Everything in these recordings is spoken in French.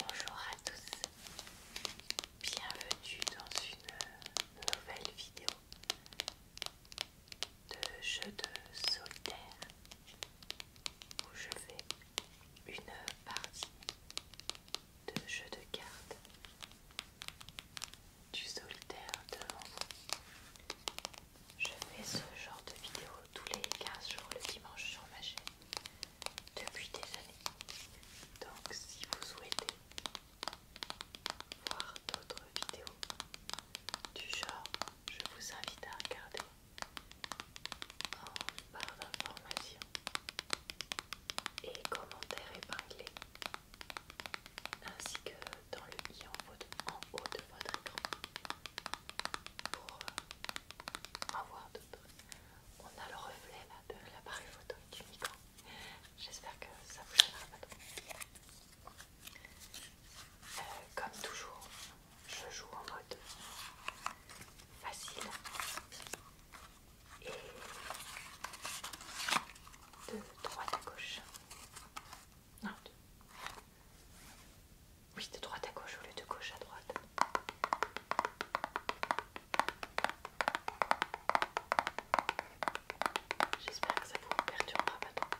Bonjour à tous, bienvenue dans une nouvelle vidéo de jeu de solitaire où je fais une partie de jeu de cartes du solitaire de Je fais ce genre de vidéo tous les 15 jours le dimanche sur ma chaîne depuis des années. Donc si vous souhaitez voir d'autres vidéos du genre, je vous invite à regarder en barre d'information et commentaires épinglés ainsi que dans le i en haut de votre écran pour euh, avoir On a le reflet de l'appareil photo et du micro. J'espère que ça vous gênera pas trop. comme toujours, je joue en mode Facile et de droite à gauche. Non, oui, de droite à gauche au lieu de gauche à droite. J'espère que ça vous perturbera pas trop.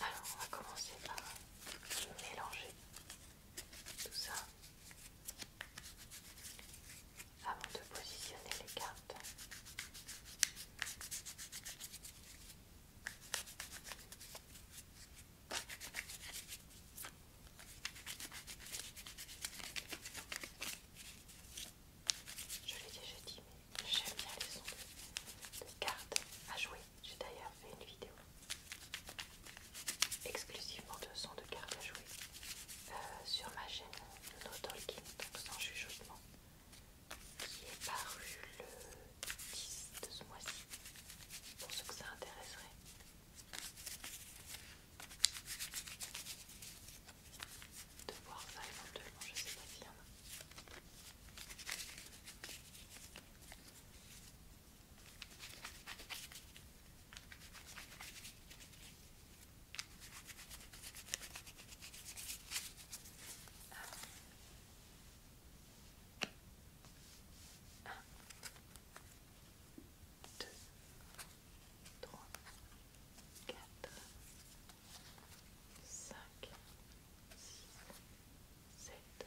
Alors, on va commencer par mélanger tout ça avant de positionner les cartes. Je l'ai déjà dit, mais j'aime bien les sons de, cartes à jouer. J'ai d'ailleurs fait une vidéo exclusivement de son de cartes à jouer euh, sur ma chaîne No Talking, donc sans chuchotement, qui est paru le 10 de ce mois-ci, pour ceux que ça intéresserait. De voir ça éventuellement, je sais pas bien y en a. 1, 2, deux, trois, quatre, cinq, six, sept,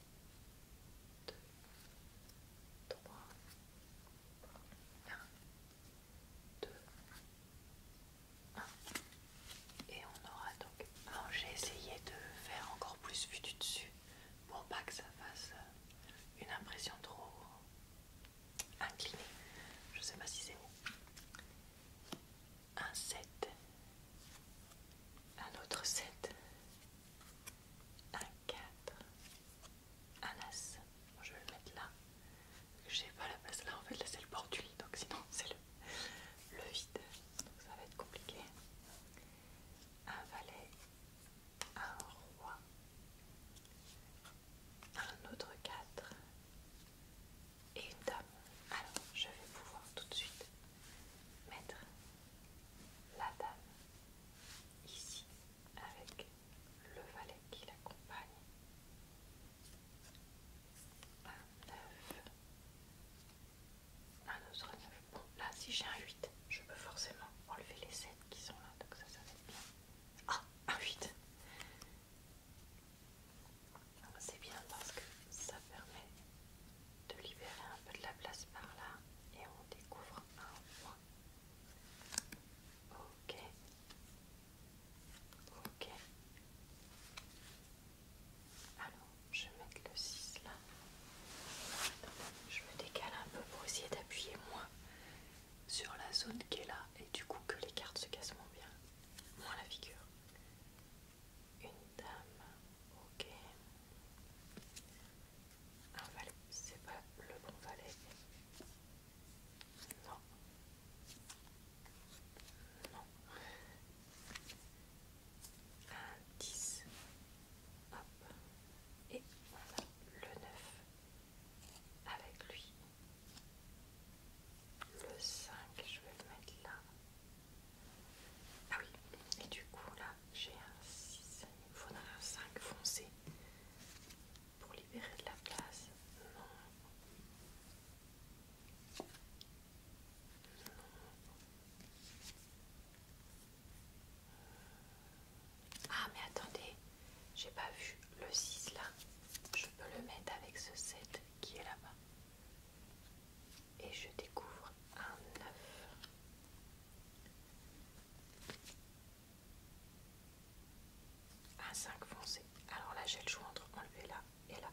2, 3, 1, 2, 1. Et on aura donc... Alors j'ai essayé de faire encore plus vu du dessus pour pas que ça fasse euh, une impression trop inclinée. Je sais pas si c'est bon. Un 7. Un autre 7 un 4, un As. Je vais le mettre là. J'ai pas la place là en fait, là c'est le bord du lit donc sinon c'est le, le vide. Donc ça va être compliqué. Un valet, un roi, un autre 4 et une dame. Alors je vais pouvoir tout de suite mettre la dame, ici avec le valet qui l'accompagne, un 9, un autre 9. Bon, là, si j'ai un 8, je peux forcément enlever les 7 qui sont là, donc ça, ça va être bien. Ah, un 8! C'est bien parce que ça permet de libérer un peu de la place par là et on découvre un point. Ok. Ok. Alors, je vais mettre le 6 là. Je me décale un peu pour essayer d'appuyer moins sur la zone qui est là et du coup que les cartes se cassent moins bien, moins la figure une dame, ok. Un valet, c'est pas le bon valet. Non. Non. Un 10. Et on le 9 avec lui. Le 5, je vais le mettre là. Ah oui, et du coup là j'ai un 6, il faudra un 5 foncé pour libérer de la place. Ah mais attendez, j'ai pas vu le 6 là. Je peux le mettre avec ce 7 qui est là-bas et je découvre un neuf. Un 5 foncé. Alors là, j'ai le choix entre enlever là et là.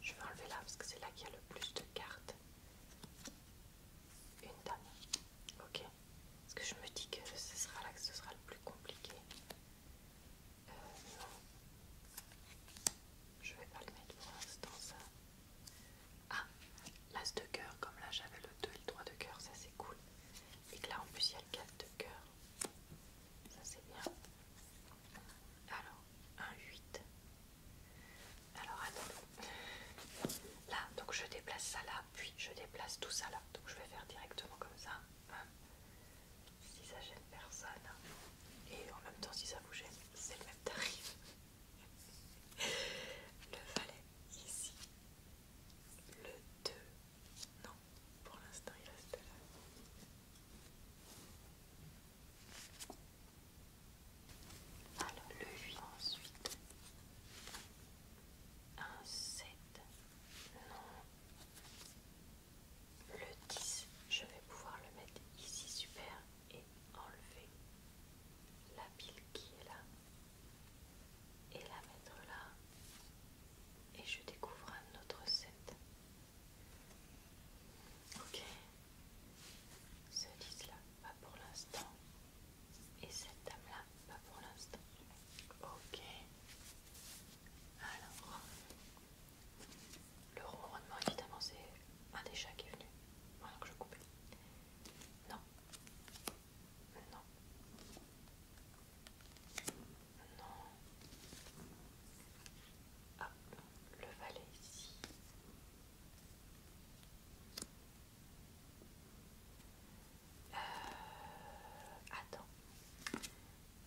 Je vais enlever là parce que c'est là qu'il y a le plus de cartes. Une dame. Ok. Parce que je me dis que ce sera là que ce sera le plus compliqué. Euh, non. Je vais pas le mettre pour l'instant, ça. Ah, l'as de cœur, comme là j'avais le 2 et le 3 de cœur, ça c'est cool. Et que là en plus il y a le 4 de cœur. Ça c'est bien. Alors, un 8. Alors attends Là, donc je déplace ça là, puis je déplace tout ça là. Donc je vais faire directement comme ça. Hum. si ça gêne personne. Et en même temps, si ça vous gêne, c'est le même tarif. Le valet ici. Le 2. Non, pour l'instant il reste là. Alors le 8 ensuite. Un 7. Non. Le 10. Je vais pouvoir le mettre ici super et enlever la pile qui est là et la mettre là et je découvre un autre set. Ok, ce 10 là, pas pour l'instant. Et cette dame là, pas pour l'instant. Ok, alors le ronronnement, évidemment, c'est un des chats qui est venu. Moi que je coupe. Non. Non. Non. Hop, le valet ici. Euh, attends.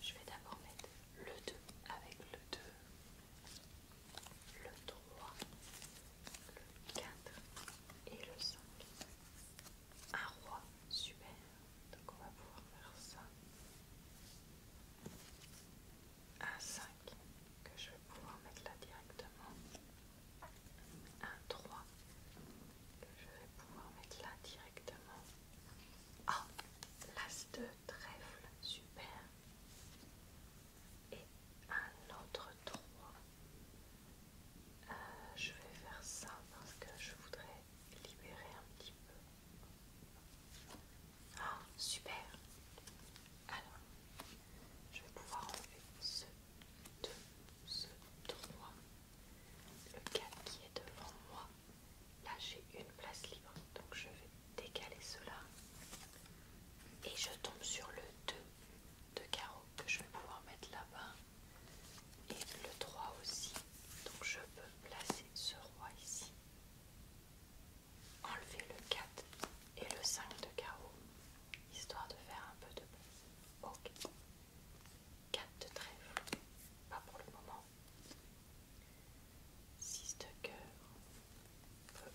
Je vais d'abord mettre le 2 avec le 2 le 3, le 4 et le 5. Un roi, super. Donc on va pouvoir faire ça. Un 5 que je vais pouvoir mettre là directement. Un 3 que je vais pouvoir mettre là directement. Ah, l'as de trèfle, super et un autre 3 euh, je vais faire ça parce que je voudrais libérer un petit peu. Ah, super! Alors, je vais pouvoir enlever ce 2, ce 3, le 4 qui est devant moi. Là, j'ai une place libre, donc je vais décaler cela et je tombe sur le 2 de carreau que je vais pouvoir mettre là-bas et le 3 aussi donc je peux placer ce roi ici enlever le 4 et le 5 de carreau histoire de faire un peu de place ok 4 de trèfle pas pour le moment 6 de cœur.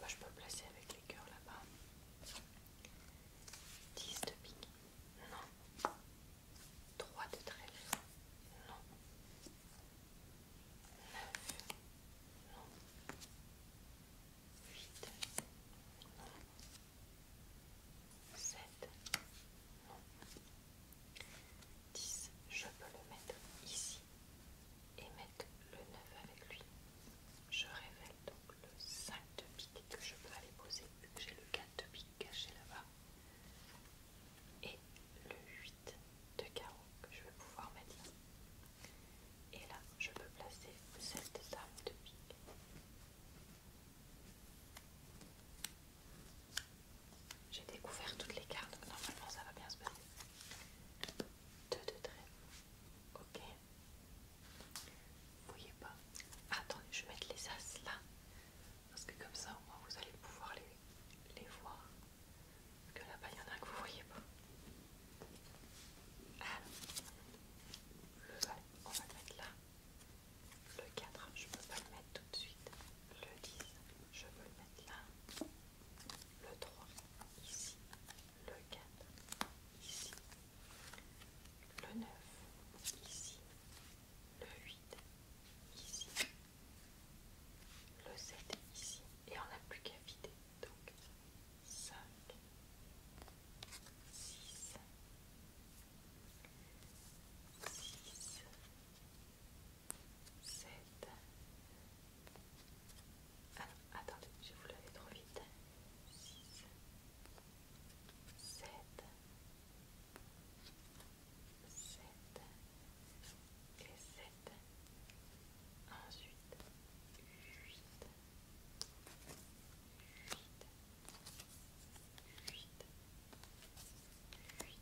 je peux placer avec les cœurs là-bas. 10 de pique. Non. 3 de trèfle. Non. 9. Non. 8. Non. 7. Non. 10. Je peux le mettre ici et mettre le 9 avec lui. Je révèle donc le 5 de pique que je peux aller poser vu que j'ai le 4 de pique caché là-bas. Et le 8 de carreau que je vais pouvoir mettre là. Et là, je peux placer cette arme de pique. J'ai découvert toutes les cartes, donc normalement ça va bien se passer. 2 de trait. Ok. Vous voyez pas Attendez, je vais mettre les as là. Parce que comme ça, au moins, vous allez pouvoir les, les voir. Parce que là-bas, il y en a un que vous voyez pas. Alors, le on va le mettre là. Le 4, je peux pas le mettre tout de suite. Le 10, je peux le mettre là le 3 ici, le 4 ici, le 9 ici, le 8 ici, le 7 ici, et on n'a plus qu'à vider. Donc 5, 6, 6, 7. Ah non, attendez, je voulais aller trop vite. 6, 7, 7 et 7. Ensuite, 8, 8, 8, 8.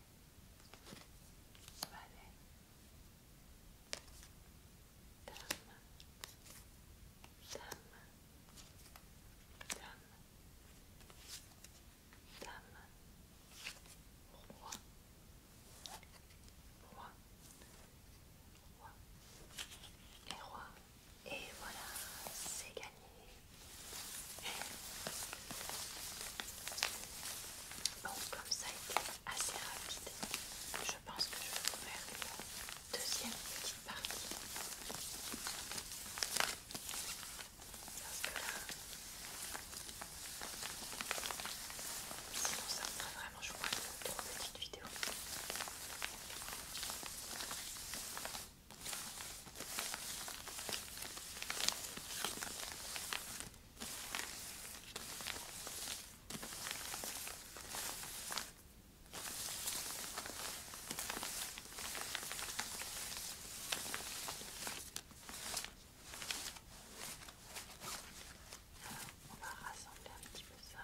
Valet Dame Dame Dame Dame Roi Roi et Roi et voilà c'est gagné Bon, comme ça a été assez rapide, je pense que je vais vous faire une deuxième petite partie. Parce que là, sinon ça serait vraiment, je faire une trop petite vidéo on va rassembler un petit peu ça.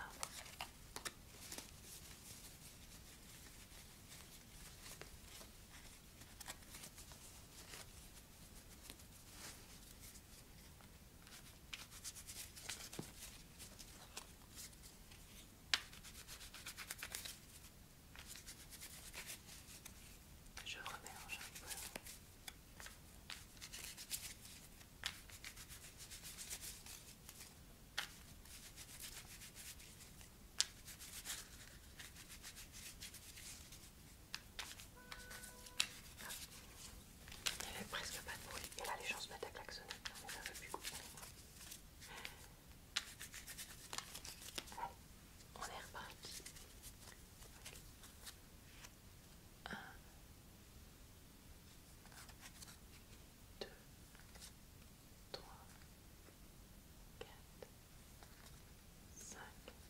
Je remélange il n'y avait presque pas de bruit et là les gens se mettent à claquer on n'a plus on est reparti. 1, 2, 3, 4, 5.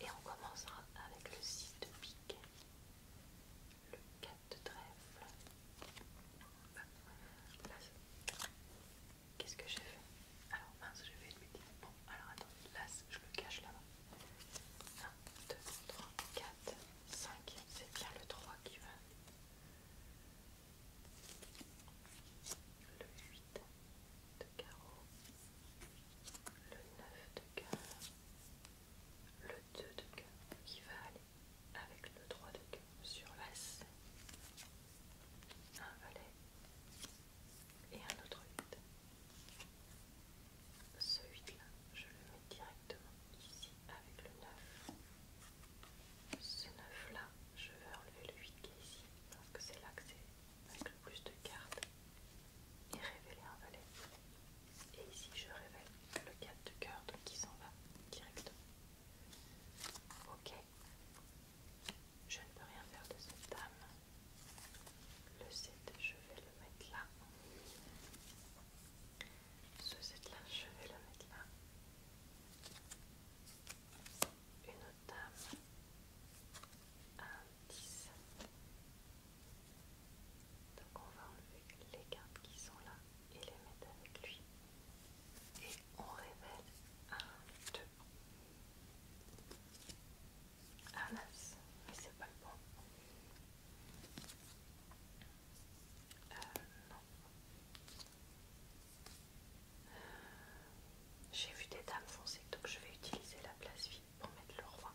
Et on commencera avec le six de pique le 4 de trèfle. Qu'est-ce que j'ai fait Alors mince, je vais lui dire. Bon, alors attends, là je le cache là-bas. 1, 2, 3, 4, 5. C'est bien le 3 qui va. Le 8 de carreau. Le 9 de cœur le 2 de cœur qui va aller avec le 3 de cœur sur l'as, un valet et un autre 8. Ce 8 là, je le mets directement ici avec le 9. Ce 9 là, je vais enlever le 8 qui est ici parce que c'est là que c'est avec le plus de cartes et révéler un valet. Et ici, je révèle le 4 de cœur, qui s'en va directement. Ok. Je ne peux rien faire de cette dame. Le 7, je vais le mettre là. Ce 7 là, je vais le mettre là. Une autre dame. Un 10. Donc on va enlever les cartes qui sont là et les mettre avec lui. Et on révèle un 2. Ah non, mais c'est pas le bon. Euh, non. Euh, j'ai vu des dames foncées, donc je vais utiliser la place vide pour mettre le roi.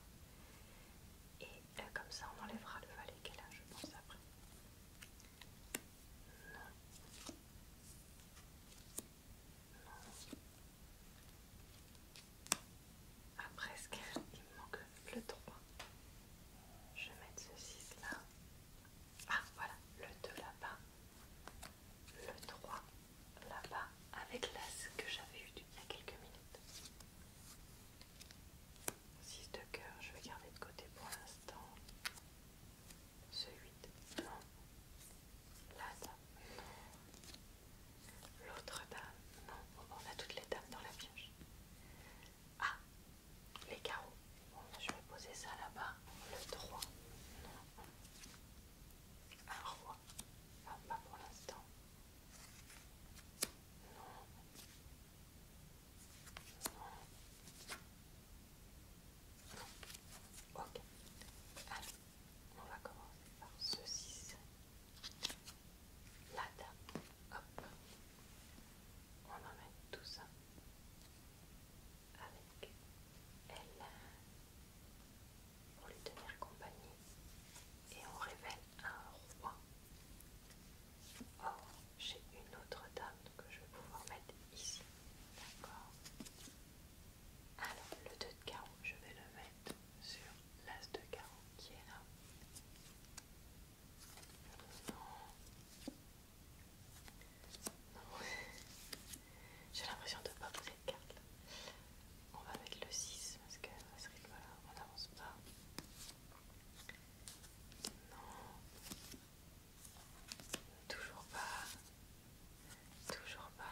Et euh, comme ça, on enlèvera le valet qu'elle a, là, je pense, après. Non. Non. Après, ce Il me manque le 3. Je vais mettre ce 6 là. Ah, voilà. Le 2 là-bas. Le 3 là-bas. Avec l'as que j'avais eu du il y a quelques minutes. 6 de cœur, je vais garder de côté pour l'instant. Ce 8, non. La dame, non. L'autre dame, non. on a toutes les dames dans la pioche. Ah, les carreaux. je vais poser ça là-bas. Le 3, non. Un roi, pas pour l'instant. Non. Ok. on va commencer par ceci. La dame, Hop. On emmène tout ça avec elle pour lui tenir compagnie et on révèle un roi. Oh, j'ai une autre dame que je vais pouvoir mettre ici. D'accord Alors, le 2 de carreau, je vais le mettre sur l'as de carreau qui est là. Non. Non. j'ai l'impression de ne pas poser de carte là. On va mettre le 6 parce que ce rythme-là, on n'avance pas. Non. Toujours pas. Toujours pas.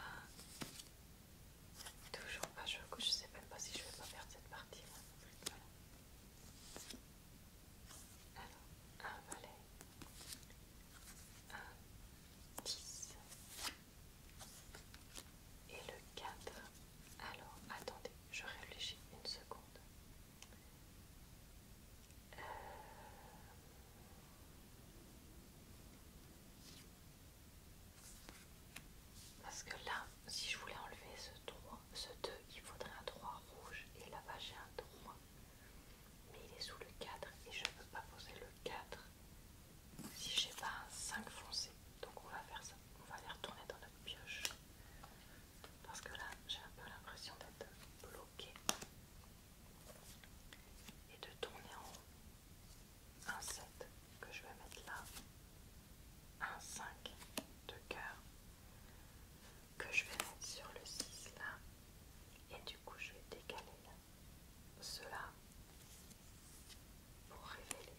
Toujours pas. Je, je sais même pas si je vais pas perdre cette partie. Alors, un valet, un 10, et le 4. Alors, attendez, je réfléchis une seconde. Euh, parce que là, si je voulais enlever ce ce 2, il faudrait un 3 rouge. Et là-bas, j'ai un 3. Mais il est sous le 4 et je ne peux pas poser le 4 si j'ai pas un 5 foncé. Donc on va faire ça. On va aller retourner dans notre pioche. Parce que là, j'ai un peu l'impression d'être bloquée. Et de tourner en Un 7 que je vais mettre là. Un 5 de cœur que je vais mettre sur le 6 là. Et du coup, je vais décaler cela pour révéler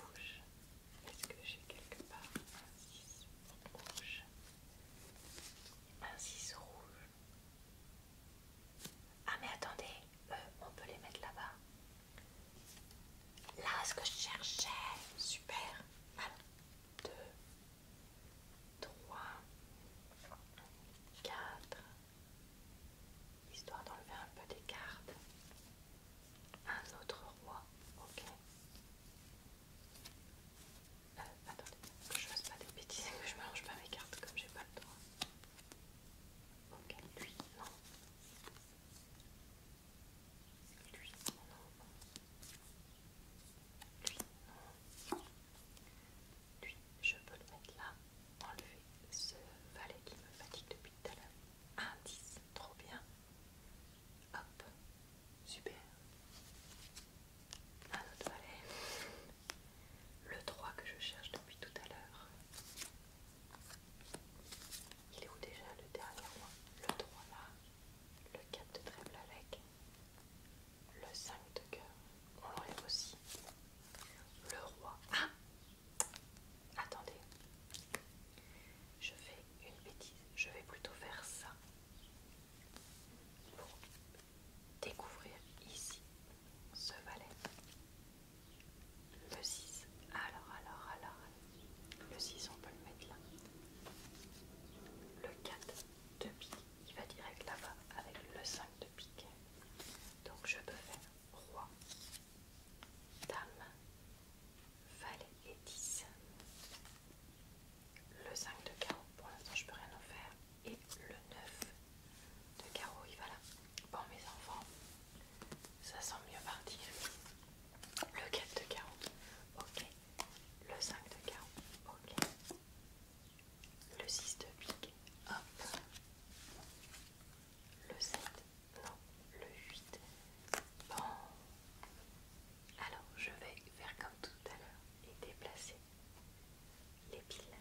rouge. Est-ce que j'ai quelque part un 6 rouge Un 6 rouge. Ah mais attendez, euh, on peut les mettre là-bas. Là, ce que je cherchais. Super. 1, 2, 3, 4. Histoire d'enlever un peu des cartes un autre roi, ok euh, Attendez, que je fasse pas des bêtises et que je mélange pas mes cartes comme j'ai pas le droit. Ok, lui, non. Lui, non. Lui, non. Lui, je peux le mettre là, enlever ce valet qui me fatigue depuis tout à l'heure. 1, 10. trop bien. Hop, super. Un autre valet. Le 3 que je cherche depuis tout à l'heure. Il est où déjà le dernier roi Le 3 là. Le 4 de trèfle avec. Le 5 de cœur. On l'enlève aussi. Le roi. Ah Attendez, je fais une bêtise, je vais plutôt faire ça pour découvrir ici ce valet. Le 6, alors, alors, alors, le 6 on peut le mettre là. Le 4 de pique, il va direct là-bas avec le 5 de pique. Donc je peux faire roi, dame, Valet et 10. Le 5 de carreau, pour l'instant je peux rien en faire. Et le 9 de carreau, il va là. Bon mes enfants, ça sent mieux parti. Le 4 de carreau, ok. Le 5 de carreau, ok. Le 6 de pique, hop. Le 7 non, le 8. Bon. Alors, je vais faire comme tout à l'heure et déplacer les piles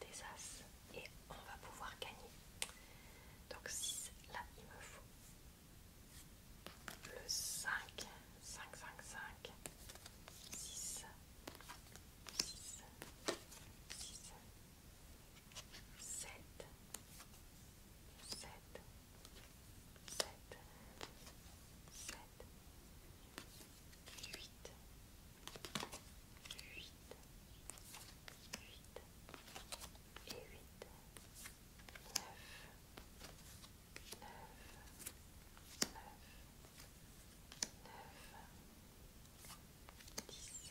des As et on va pouvoir gagner. Donc 6, là il me faut le 5, 5, 5, 5, 6, 6, 6, sept, sept, sept, sept, huit, huit, huit et huit, neuf, neuf, neuf, neuf, dix,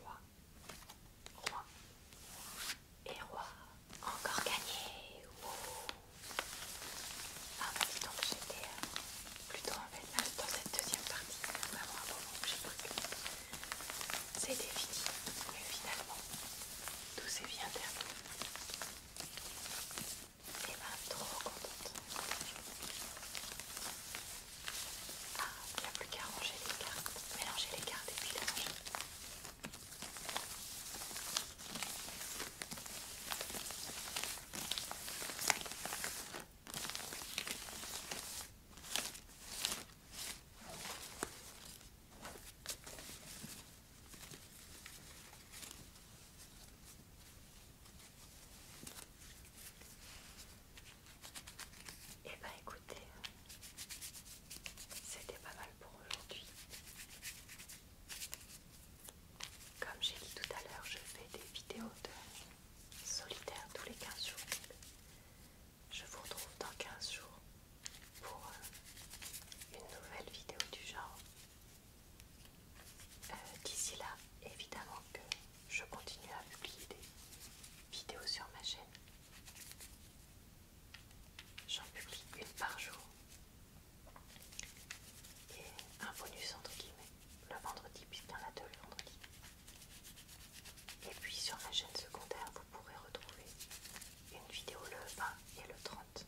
Roi, roi et roi. Encore gagné. Wow. Ah bah dis donc, j'étais euh, plutôt en vénal dans cette deuxième partie. Vraiment un moment j'ai que C'était fini. Mais finalement, tout s'est bien terminé. Et eh bah ben, trop contente. Ah, il n'y a plus qu'à ranger les cartes, mélanger les cartes et puis les ranger. Et eh bah ben, écoutez, c'était pas mal pour aujourd'hui. Comme j'ai dit tout à l'heure, je fais des vidéos de solitaire tous les 15 jours. Je vous retrouve dans 15 jours pour euh, une nouvelle vidéo du genre. Euh, d'ici là, évidemment que je continue à publier des vidéos sur ma chaîne. J'en publie une par jour et un bonus entre guillemets le vendredi puisqu'il y en a deux le vendredi. Et puis sur ma chaîne secondaire vous pourrez retrouver une vidéo le 20 et le 30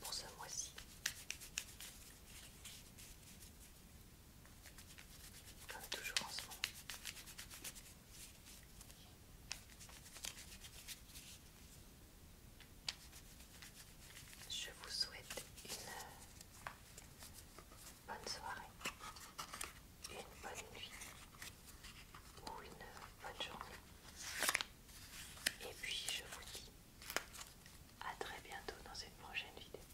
pour ce mois-ci. Comme toujours en ce moment. Je vous souhaite une bonne soirée, une bonne nuit ou une bonne journée. Et puis je vous dis à très bientôt dans une prochaine vidéo.